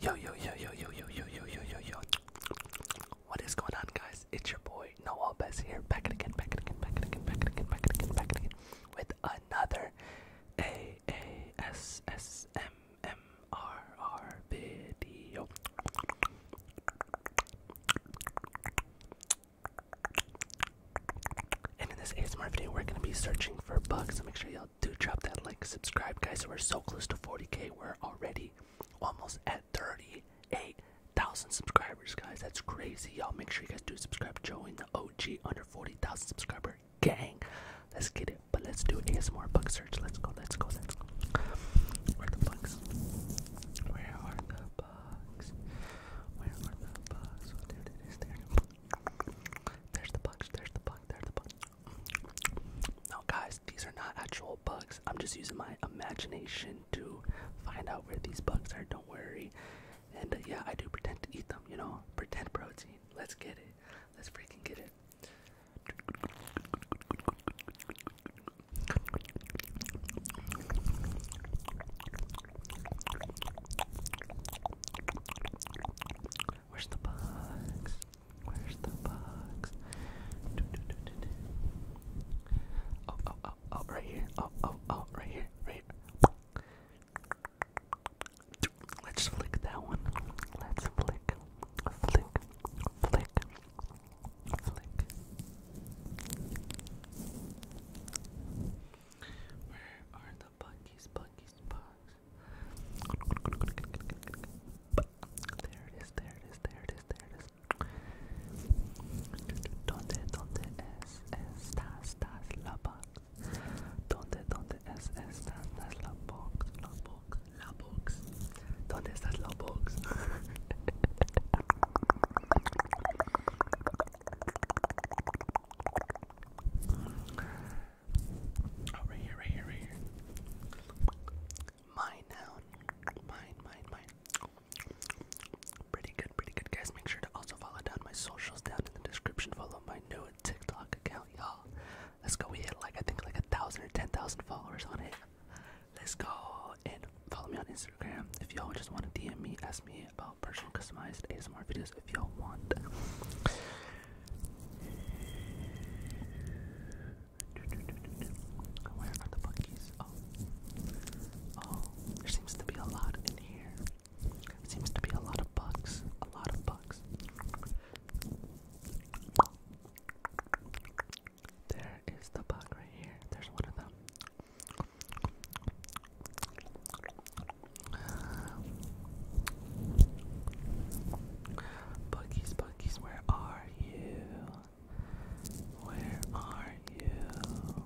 Yo yo yo yo yo yo yo yo yo yo yo. What is going on, guys? It's your boy Noah Bess here, back it again, back it again, back it again, back it again, back it again, back it again, with another A A S S M M R R video. And in this ASMR video, we're gonna be searching for bugs. So make sure y'all do drop that like, subscribe, guys. We're so close to 40k. We're already almost at 38,000 subscribers, guys. That's crazy, y'all. Make sure you guys do subscribe. Join the OG under 40,000 subscriber gang. Let's get it. But let's do an ASMR bug search. Let's go. Let's go. Let's go. Where the bugs? Where are the bugs? Where are the bugs? Oh, there it is. There. There's the bugs. There's the bug. There's the bug. No, guys, these are not actual bugs. I'm just using my imagination to find out where these bugs are. Don't worry. And uh, yeah, I do pretend to eat them, you know? Pretend protein. Let's get it. Let's freaking get it. Where's the box? Where's the box? Oh, oh, oh, oh, right here. Oh, oh, oh, right here. Right Let's flick that one. Let's flick. Flick. Flick. Flick. Where are the buggies? Buggies, bugs. There it is, there it is, there it is, there it is. Donde, donde es, estas, das la box? Donde, donde es, estas, das la box? La box, la box. Donde estas la box? Oh, here, right here, right here. Mine now. Mine, mine, mine. Pretty good, pretty good, guys. Make sure to also follow down my socials down in the description. Follow my new TikTok account, y'all. Let's go. We hit like I think like a thousand or ten thousand followers on it. Let's go and follow me on Instagram if y'all just want to DM me, ask me about personal customized ASMR videos if y'all want. Where are the monkeys? Oh. Oh, there seems to be a lot in here. Seems to be a lot of bugs. A lot of bugs. There is the bug right here. There's one of them. Buggies, buggies, where are you? Where are you?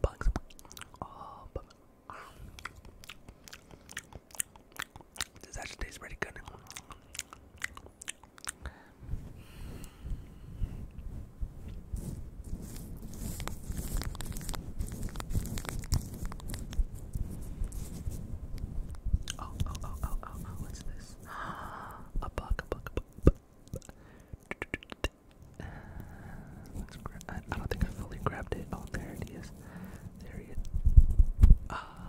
Bugs. Oh, bugs. This actually tastes pretty good. Oh, oh, oh, oh, oh, what's this? a bug, a bug, a bug. I, don't think I fully grabbed it. Oh, there it is. There it is. Ah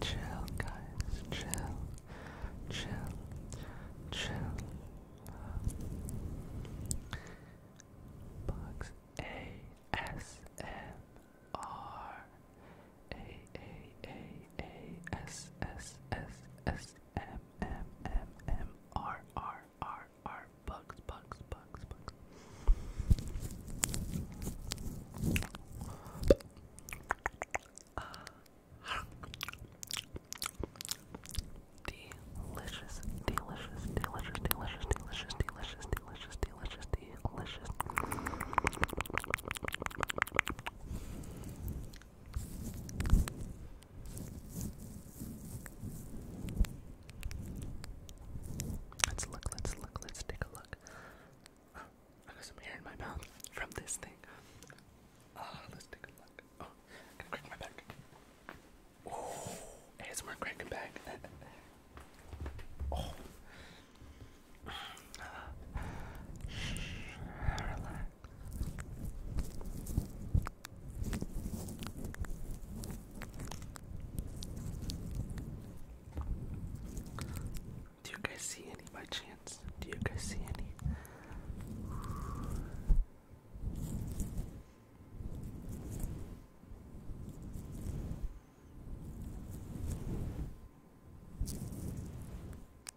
Chill, guys, chill, chill, chill. Bugs A S M R A A A A S S S S M M M M R R R R R bugs bugs bugs bugs. Uh, delicious, delicious, delicious, delicious, delicious, delicious, delicious, delicious, delicious. Let's look, let's look, let's take a look. Oh, I got some hair in my mouth from this thing. Ah, let's take a look. Oh, I gotta my back. Oh, ASMR cracking back. oh. relax. Do you guys see any by chance? Do you guys see any?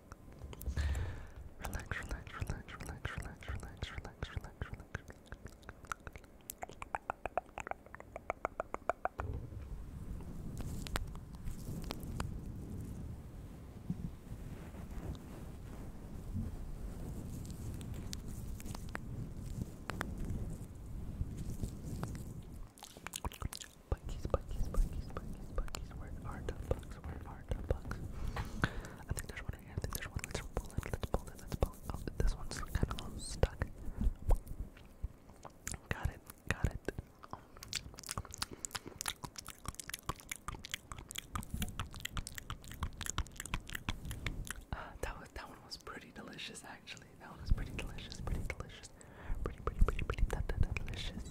Relax, relax, relax, relax, relax, relax, relax, relax, relax. Buckies, buckies, buckies, buckies, buckies, where are the bucks? Where are I think there's one here. I think there's one. Let's pull it. Let's pull it. Let's pull it. this one's kind of stuck. Got it. Got it. Uh, that was that one was pretty delicious actually. That one was pretty delicious. Pretty delicious. Pretty pretty pretty pretty that, that, that delicious.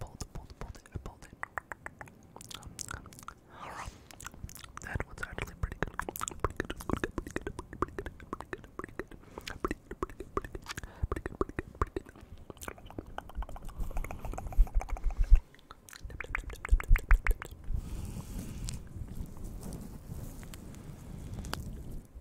Bolt, bolt, bolt it, bolt it. That was actually pretty good. Pretty good, pretty good, pretty good, pretty good, pretty good, pretty good, pretty good, pretty good, pretty good, pretty good, pretty good.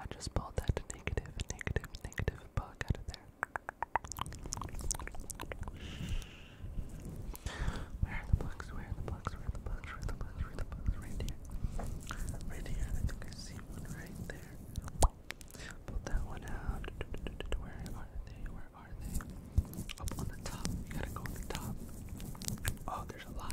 I just pulled that negative, negative, negative bug out of there. Where are the bugs? Where are the bugs? Where are the bugs? Where are the bugs? Where are the bugs? Right here. Right here. I think I see one right there. Pull that one out. Where are they? Where are they? Up on the top. You gotta go on the top. Oh, there's a lot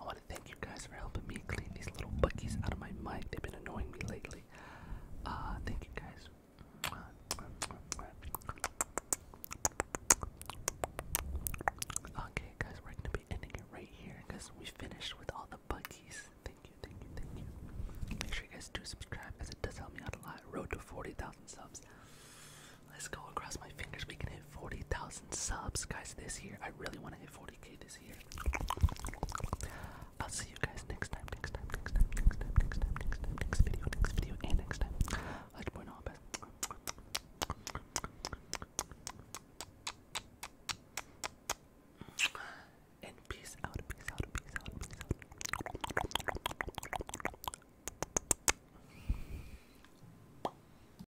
I want to thank you guys for helping me clean these little buckies out of my mic. They've been annoying me lately. Uh, thank you guys. Okay, guys, we're gonna be ending it right here because we finished with all the buckies. Thank you, thank you, thank you. Make sure you guys do subscribe as it does help me out a lot. Road to 40,000 subs. Let's go across my fingers. We can hit hit 40,000 subs, guys, this year. I really want to hit 40k this year. I'll see you guys next time, next time, next time, next time, next time, next time, next video, next video, and next time. Let your boy know best. And peace out, peace out, peace peace out.